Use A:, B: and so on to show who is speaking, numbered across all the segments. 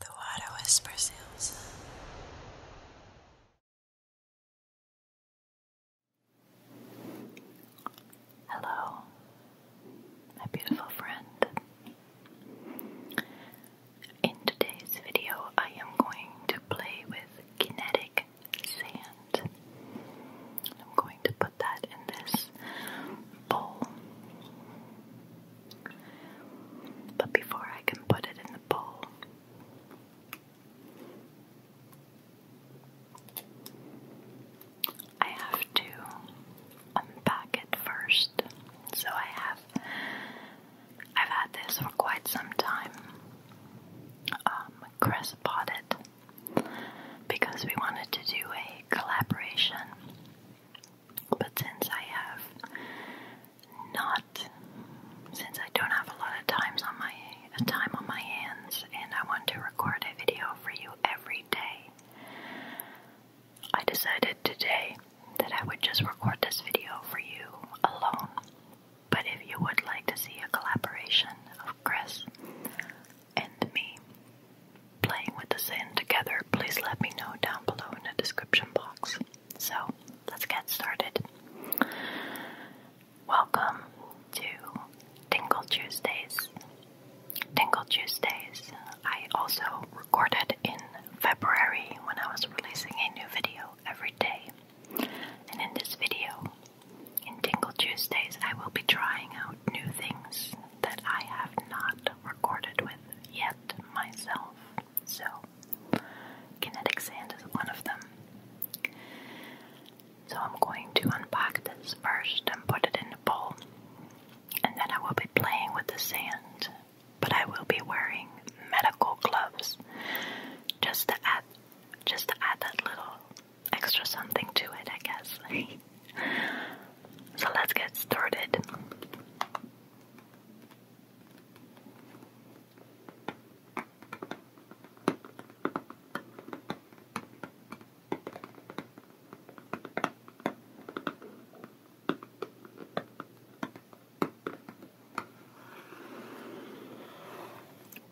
A: The water whispers Hello, my beautiful friend. In today's video, I am going to play with kinetic sand. I'm going to put that in this bowl. But before I can put it in the bowl, I have to unpack it first. So I have I've had this for quite some time. Um, Chris bought it because we wanted to do a collaboration but since I have not, since I don't have a lot of times on my time on my hands, and I want to record a video for you every day, I decided today that I would just record this video for you alone. But if you would like to see a collaboration of Chris and me, playing with the sand together, please let me know down below in the description box. So, let's get started. Welcome to Tingle Tuesdays. Tingle Tuesdays, I also recorded in February when I was releasing a new video every day. And in this video, in Tingle Tuesdays, I will be trying out new things that I have not recorded with yet myself. So, kinetic sand is one of them. So, I'm going to unpack this first and put it in a bowl, and then I will be playing with the sand, but I will be wearing medical gloves just to add, just to add that little extra something to it, I guess. So let's get started.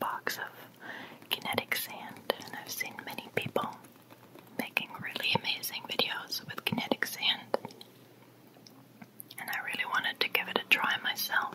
A: Box of kinetic sand, and I've seen many people making really amazing videos with kinetic sand, and I really wanted to give it a try myself.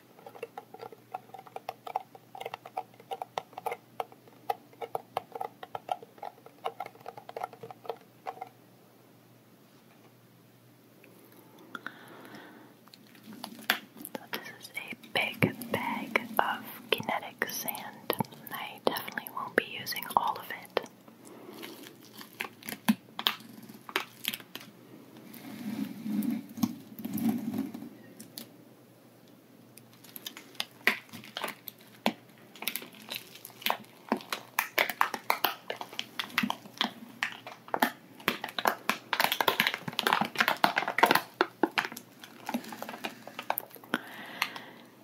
A: So this a big bag of kinetic sand. I definitely won't be using all of it.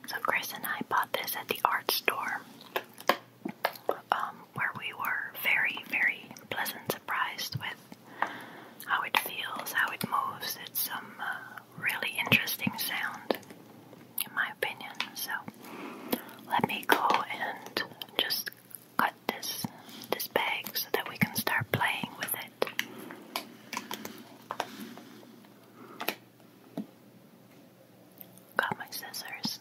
A: So Chris and I bought this at the art store, um, where we were very, very pleasant surprised with how it feels, how it moves. It's some uh, really interesting sound, in my opinion. So let me go and just cut this this bag so that we can start playing with it. Got my scissors.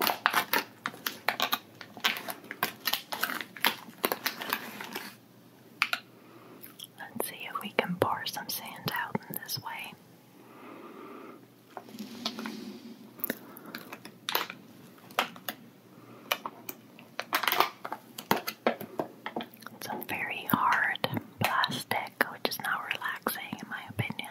A: Let's see if we can pour some sand out in this way. It's a very hard plastic, which is not relaxing, in my opinion.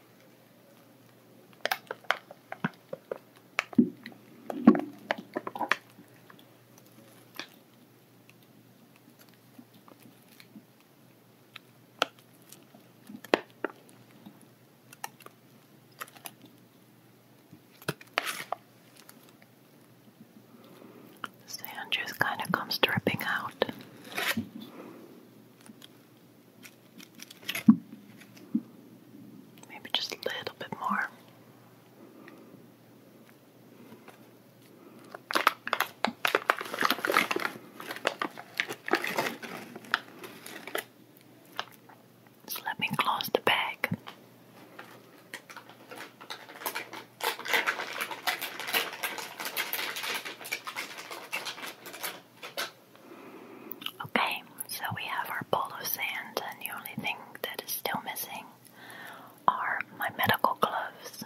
A: Sand just kind of comes dripping out. Maybe just a little bit more. let me close the bag. Okay, so we have our bowl of sand, and the only thing that is still missing are my medical gloves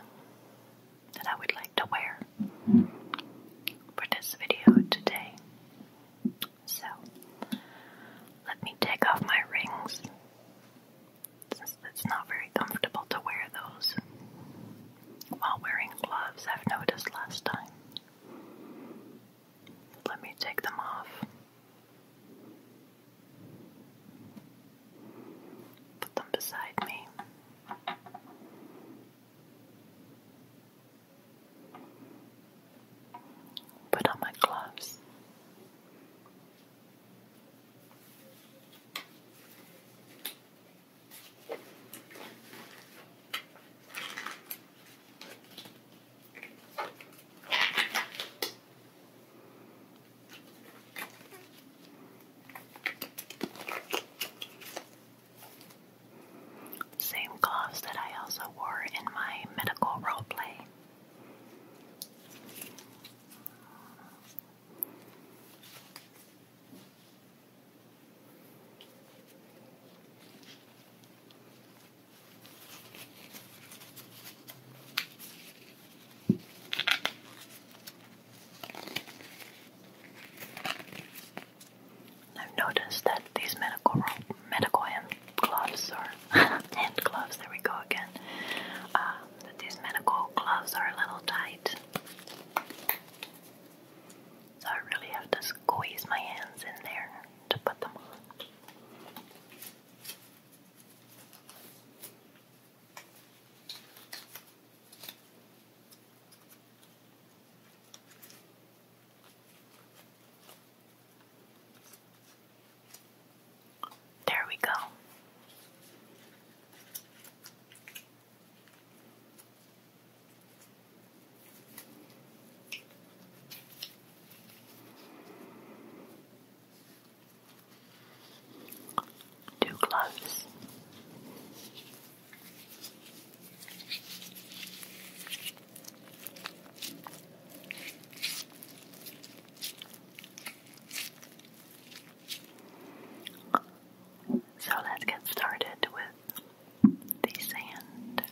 A: that I would like to wear for this video today. So, let me take off my rings since it's not very comfortable to wear those while wearing gloves, I've noticed last time. Let me take them off. Put them beside me. Put on my gloves. Same gloves that I also wore in my medical role play. I've noticed that these medical medical gloves are hand gloves. There we go again. Uh, that these medical gloves are a little tight. So I really have to squeeze my hands in there to put them on. There we go. Two gloves. So let's get started with the sand.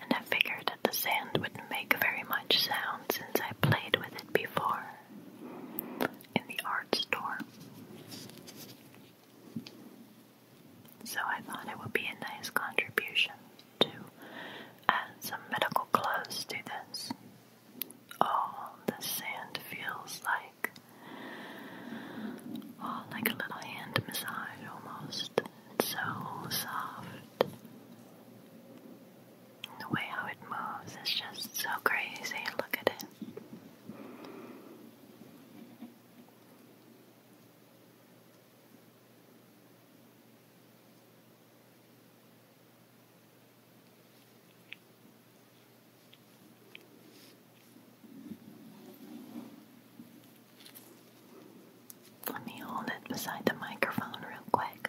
A: And I figured that the sand wouldn't make very much sound since I played with it before in the art store. So I thought it would be a nice contribution to add some medical clothes to this. Oh, the sand feels like oh, like a little hand massage almost. It's so soft. The way how it moves is just so crazy. Look at it. Let me hold it beside the microphone real quick.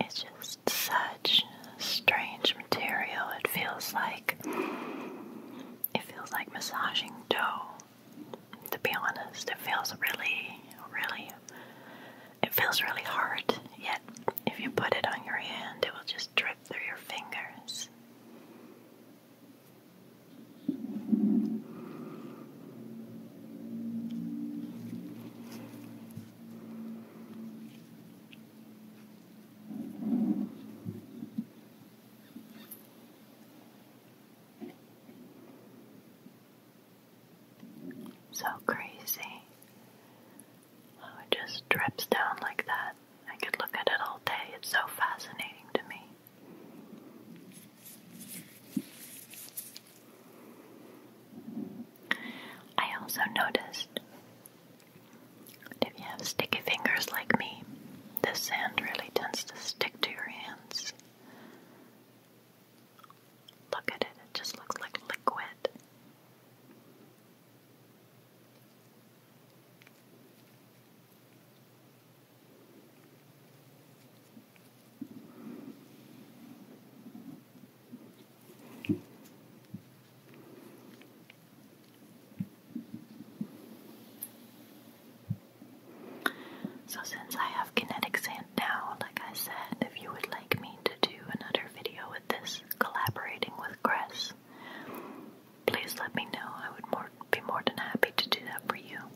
A: It's just such strange material. It feels like it feels like massaging dough. To be honest, it feels really, really it feels really hard, yet if you put it on your hand, it will just drip through your fingers. So crazy how it just drips down like that. I could look at it all day. It's so fascinating to me. I also noticed that if you have sticky fingers like me, the sand really tends to stick to your hands. Look at it, it just looks like liquid. So, since I have kinetic sand now, like I said, if you would like me to do another video with this collaborating with Chris, please let me know. I would be more than happy to do that for you.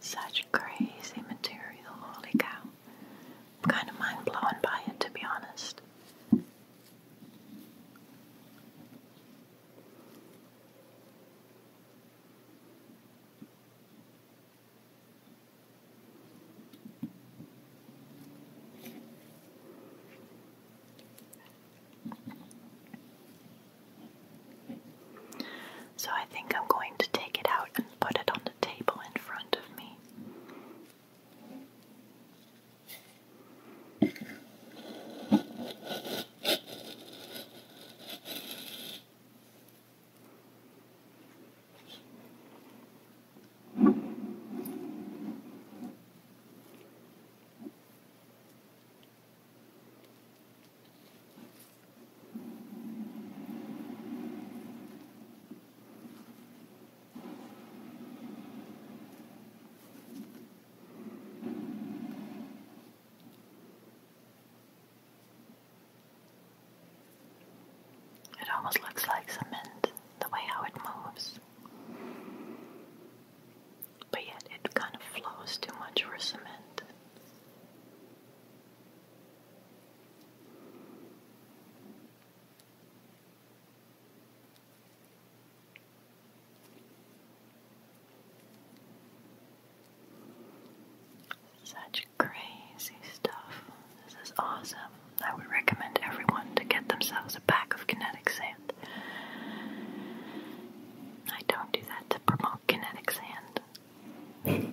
A: Such crazy material, holy cow. kind of mind blown by it, to be honest. So I think I'm going to take it out and put it on the table in front of me. It almost looks like cement the way how it moves but yet it kind of flows too much for cement. Such crazy stuff. This is awesome. I would recommend everyone to get themselves a pack of kinetic sand sand. I don't do that to promote kinetic sand.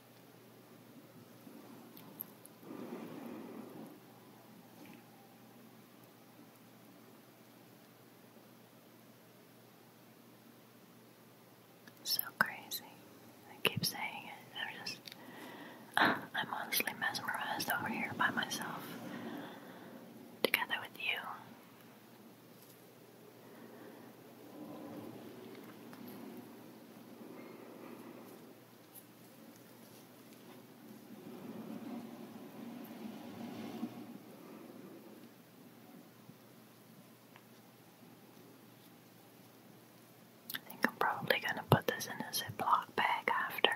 A: So crazy. I keep saying it. I'm just, I'm honestly mesmerized over here by myself, together with you. I think I'm probably going to put this in a Ziploc bag after,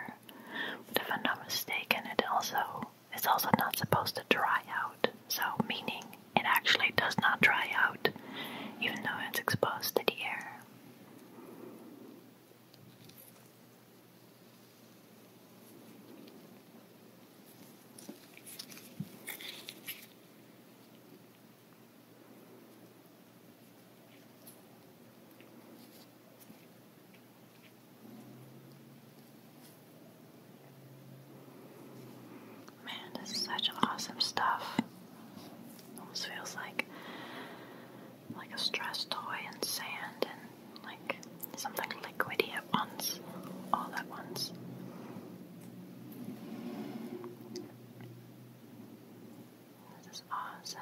A: but if I'm not mistaken, it also it's also not supposed to dry out. So, meaning it actually does not dry out even though it's exposed to the air. Man, this is such awesome stuff. Almost feels like like a stress toy and sand and like something liquidy at once, all at once. This is awesome.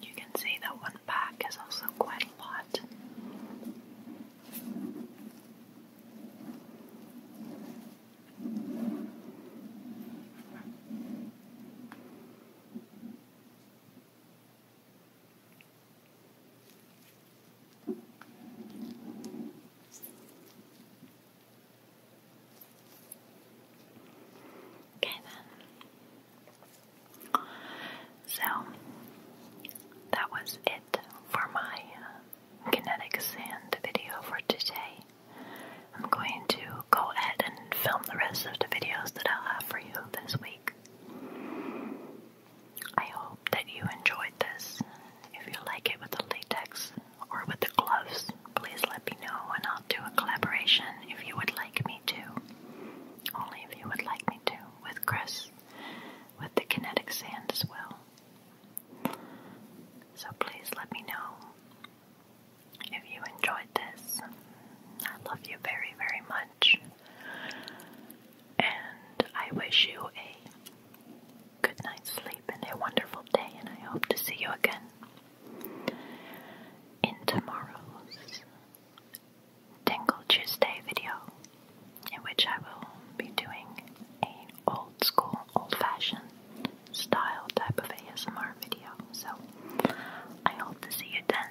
A: You can see that one pack is also quite a lot. Okay then. So that was it for my uh, kinetic video for today. I'm going to go ahead and film the rest of the videos that I'll have for you this week. I hope that you enjoyed this. If you like it with the latex or with the gloves, please let me know and I'll do a collaboration if you would like me to. Only if you would like me to, with Chris, with the kinetic sand as well. So please let me know. If you enjoyed this, I love you very, very much. And I wish you a good night's sleep and a wonderful day, and I hope to see you again in tomorrow's Tingle Tuesday video, in which I will be doing an old school old-fashioned style type of ASMR video. So I hope to see you then.